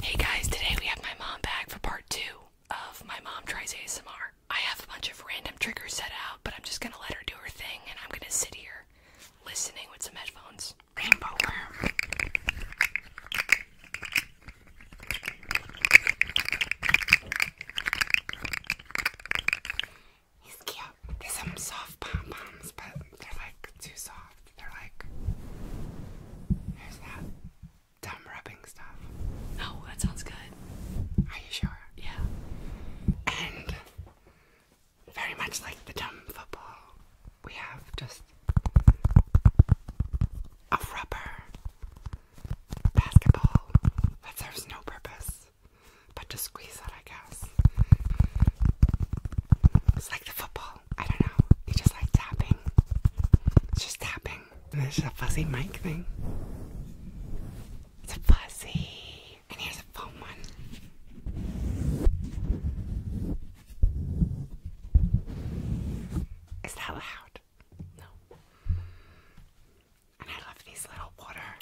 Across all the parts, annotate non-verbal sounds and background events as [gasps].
Hey guys, today we have my mom back for part two of My Mom Tries ASMR. I have a bunch of random triggers set out, but I'm just gonna let her do her thing and I'm gonna sit here listening with some headphones. Rainbow worm. He's cute. There's some soft pom poms, but they're like too soft. They're like. Dumb rubbing stuff. Oh, that sounds good. Are you sure? Yeah. And very much like the dumb football, we have just a rubber basketball that serves no purpose but to squeeze it, I guess. It's like the football I don't know. They just like tapping. It's just tapping. And there's a fuzzy mic thing. It's a fuzzy. And here's a foam one. Is that loud? No. And I love these little water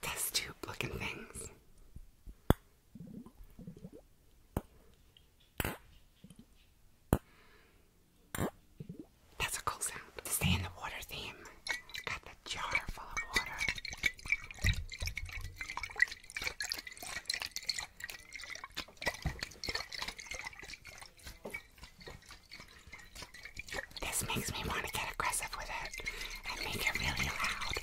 test tube looking things. That's a cool sound. stay in the water theme, got the jar full of water. This makes me want to get aggressive with it and make it really loud.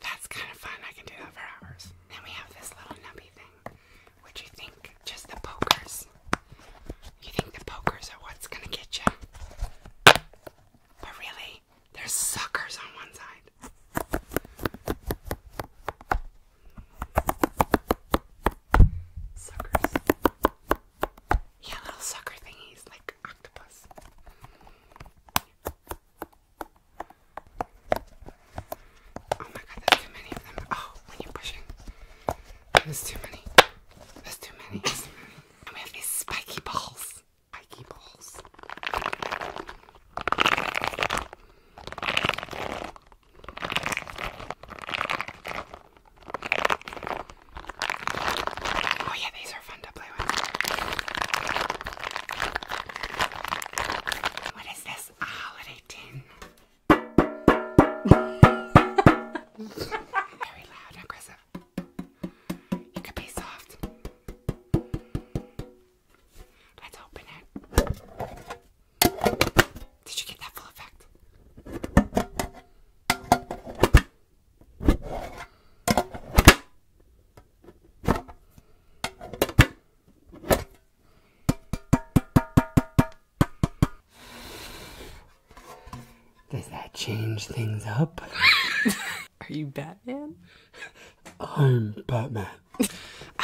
That's kind of fun. I can do that for hours. Then we have this little nubby thing. What do you think? Just the pokers. You think the pokers are what's gonna get you. But really, there's suckers on one side. Suckers. Yeah, little sucker thingies like octopus. Oh my god, there's too many of them. Oh, when you're pushing. There's too many. There's too many we have these spiky balls. Spiky balls. Oh yeah, these are fun to play with. What is this? holiday tin. [laughs] Very loud aggressive. You could be soft. Let's open it. Did you get that full effect? Does that change things up? [laughs] Are you Batman? I'm Batman.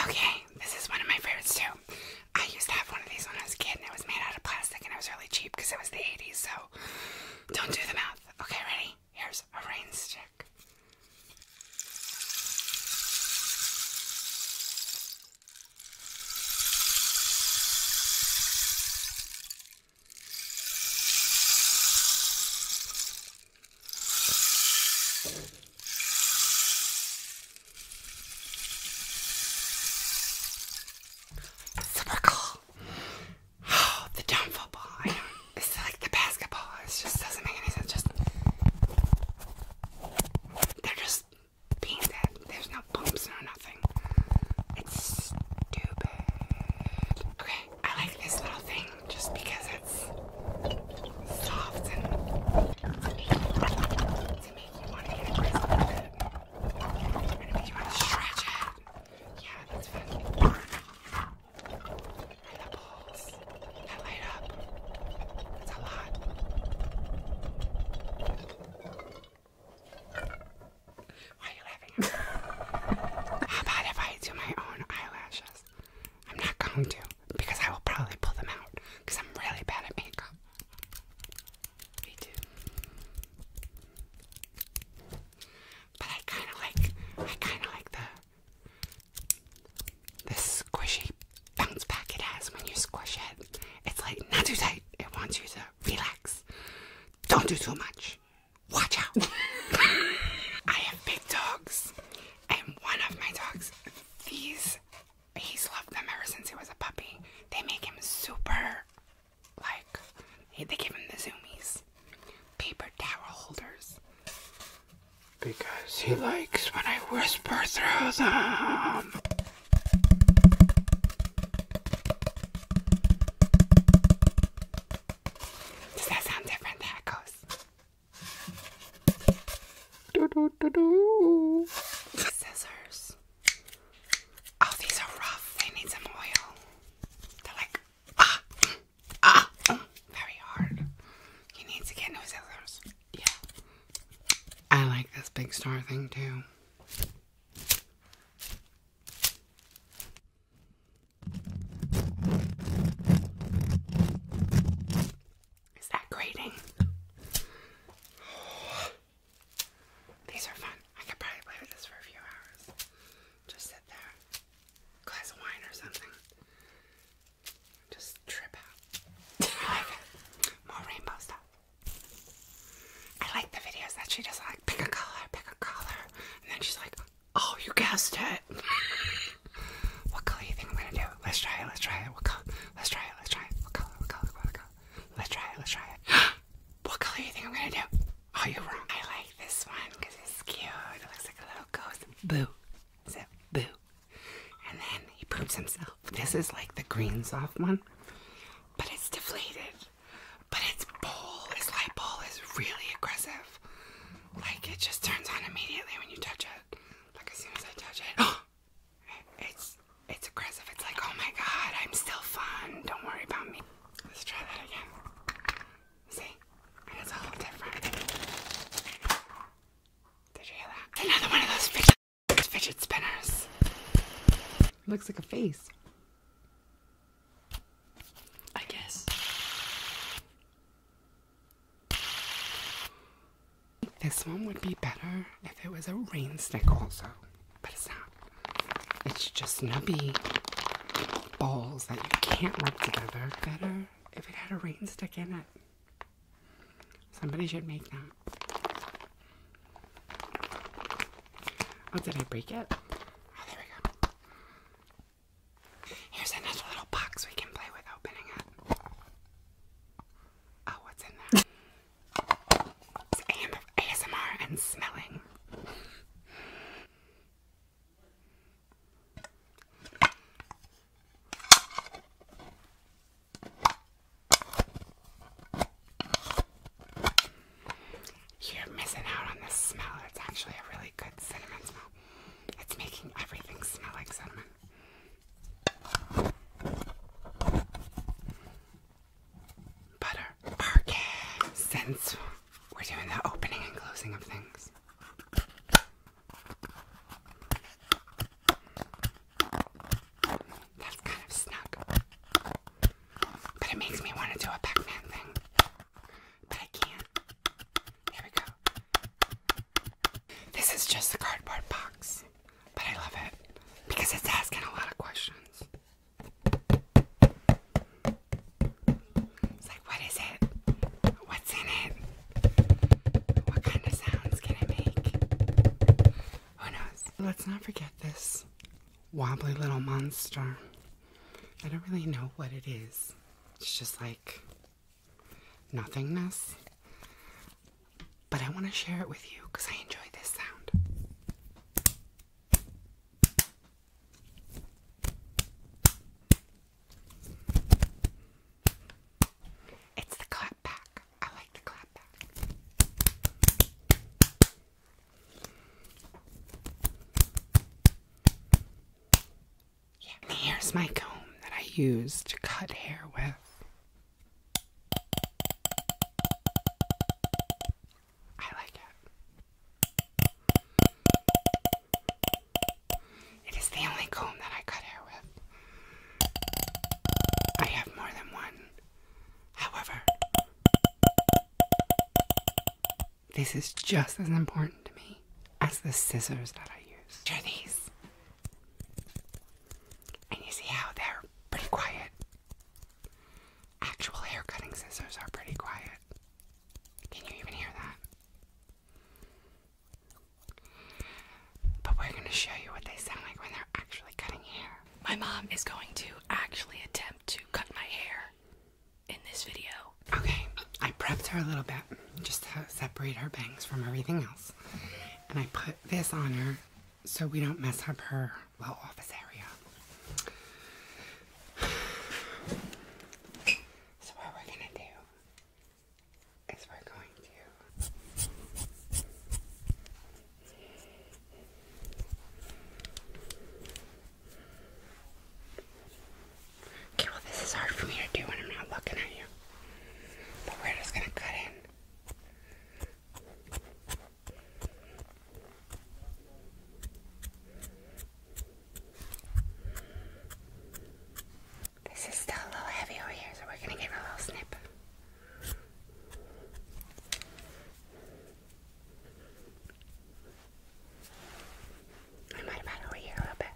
okay, this is one of my favorites too. I used to have one of these when I was a kid and it was made out of plastic and it was really cheap because it was the 80s, so don't do the math. Okay, ready? Here's a rainstick. Typical. Oh, the dumb football. it's like the basketball. It just doesn't make any sense. Just they're just being dead. There's no bumps or nothing. It's stupid. Okay, I like this little thing just because it's soft and it. And you want to stretch it. Yeah, that's fun. And the balls that light up. That's a lot. Why are you laughing [laughs] How about if I do my own eyelashes? I'm not going to because I will probably pull them out because I'm really bad at makeup. Me too. But I kind of like, I kind of like the, the squishy bounce back has when you squish it. It's like not too tight. It wants you to relax. Don't do too much. Watch out. [laughs] I have big dogs, and one of my dogs, these, he's loved them ever since he was a puppy. They make him super, like, they give him the zoomies, paper towel holders, because he likes when I whisper through them. Does that sound different? There it goes. Do, do, do, do. Scissors. Oh, these are rough. They need some oil. They're like, ah, ah, ah, very hard. You need to get new scissors. Yeah. I like this big star thing too. Is that grating? These are fun. I could probably play with this for a few hours. Just sit there, glass of wine or something. Just trip out. [laughs] More rainbow stuff. I like the videos that she does like pick a color, pick a color, and then she's like, "Oh, you guessed it." [laughs] what color do you think I'm gonna do? Let's try it. Let's try it. What color? Let's try it. Let's try it. What color? What color? What color? Let's try it. Let's try it. [gasps] what color do you think I'm gonna do? Oh, you're wrong. I like this one because it's cute. It looks like a little ghost. Boo. Is it boo? And then he poops himself. This is like the green soft one, but it's deflated. But its bowl, its light bowl is really aggressive. Like it just turns on immediately when you touch it. Like as soon as I touch it, oh, [gasps] it's it's aggressive. It's like, oh my god, I'm still fun. Don't worry about me. Let's try that again. See? It's all different. Did you hear that? Another one of those fidget, fidget spinners. Looks like a face. I guess. This one would be better if it was a rainstick, also, but it's not. It's just nubby balls that you can't rub together. Better if it had a rainstick in it. Somebody should make that. Oh, did I break it? Oh, there we go. Here's another little box we can play with opening it. Oh, what's in there? It's ASMR and smelling. You're missing out on the smell. It's actually a really good cinnamon smell. It's making everything smell like cinnamon. Butter. Parquet. Since we're doing the opening and closing of things. That's kind of snug. But it makes me want to do a Pac-Man thing. But I can't. There we go. This is just a cardboard box. But I love it. Because it's asking a lot of questions. It's like, what is it? What's in it? What kind of sounds can it make? Who knows? Let's not forget this wobbly little monster. I don't really know what it is. It's just like nothingness. But I want to share it with you because I enjoy this sound. It's the clap I like the clap yeah, here's my comb that I use to cut hair with. I like it. It is the only comb that I cut hair with. I have more than one. However, this is just as important to me as the scissors that I use. Here these. And you see how they're pretty quiet. Actual hair cutting scissors are pretty quiet. Can you even hear that? But we're going to show you what they sound like when they're actually cutting hair. My mom is going to actually attempt to cut my hair in this video. Okay, I prepped her a little bit just to separate her bangs from everything else. And I put this on her so we don't mess up her little office area. [sighs] So what we're gonna do is we're going to Okay, well, this is hard for me to do when I'm not looking at you. But we're just gonna cut in. This is still a little heavy over here, so we're gonna give it a little snip. I might have had over here a little bit.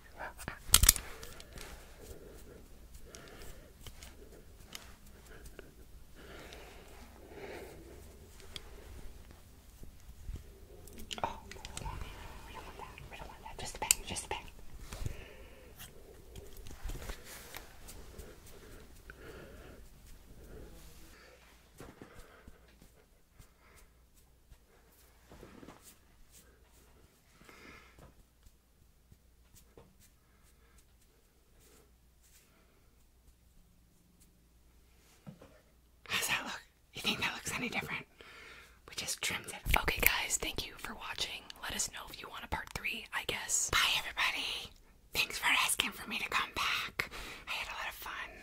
Oh, we don't want that. We don't want that. Just a back. Just the back. How's that look? You think that looks any different? We just trimmed it. Okay, guys, thank you for watching. Let us know if you want a part three, I guess. Bye, everybody. Thanks for asking for me to come back. I had a lot of fun.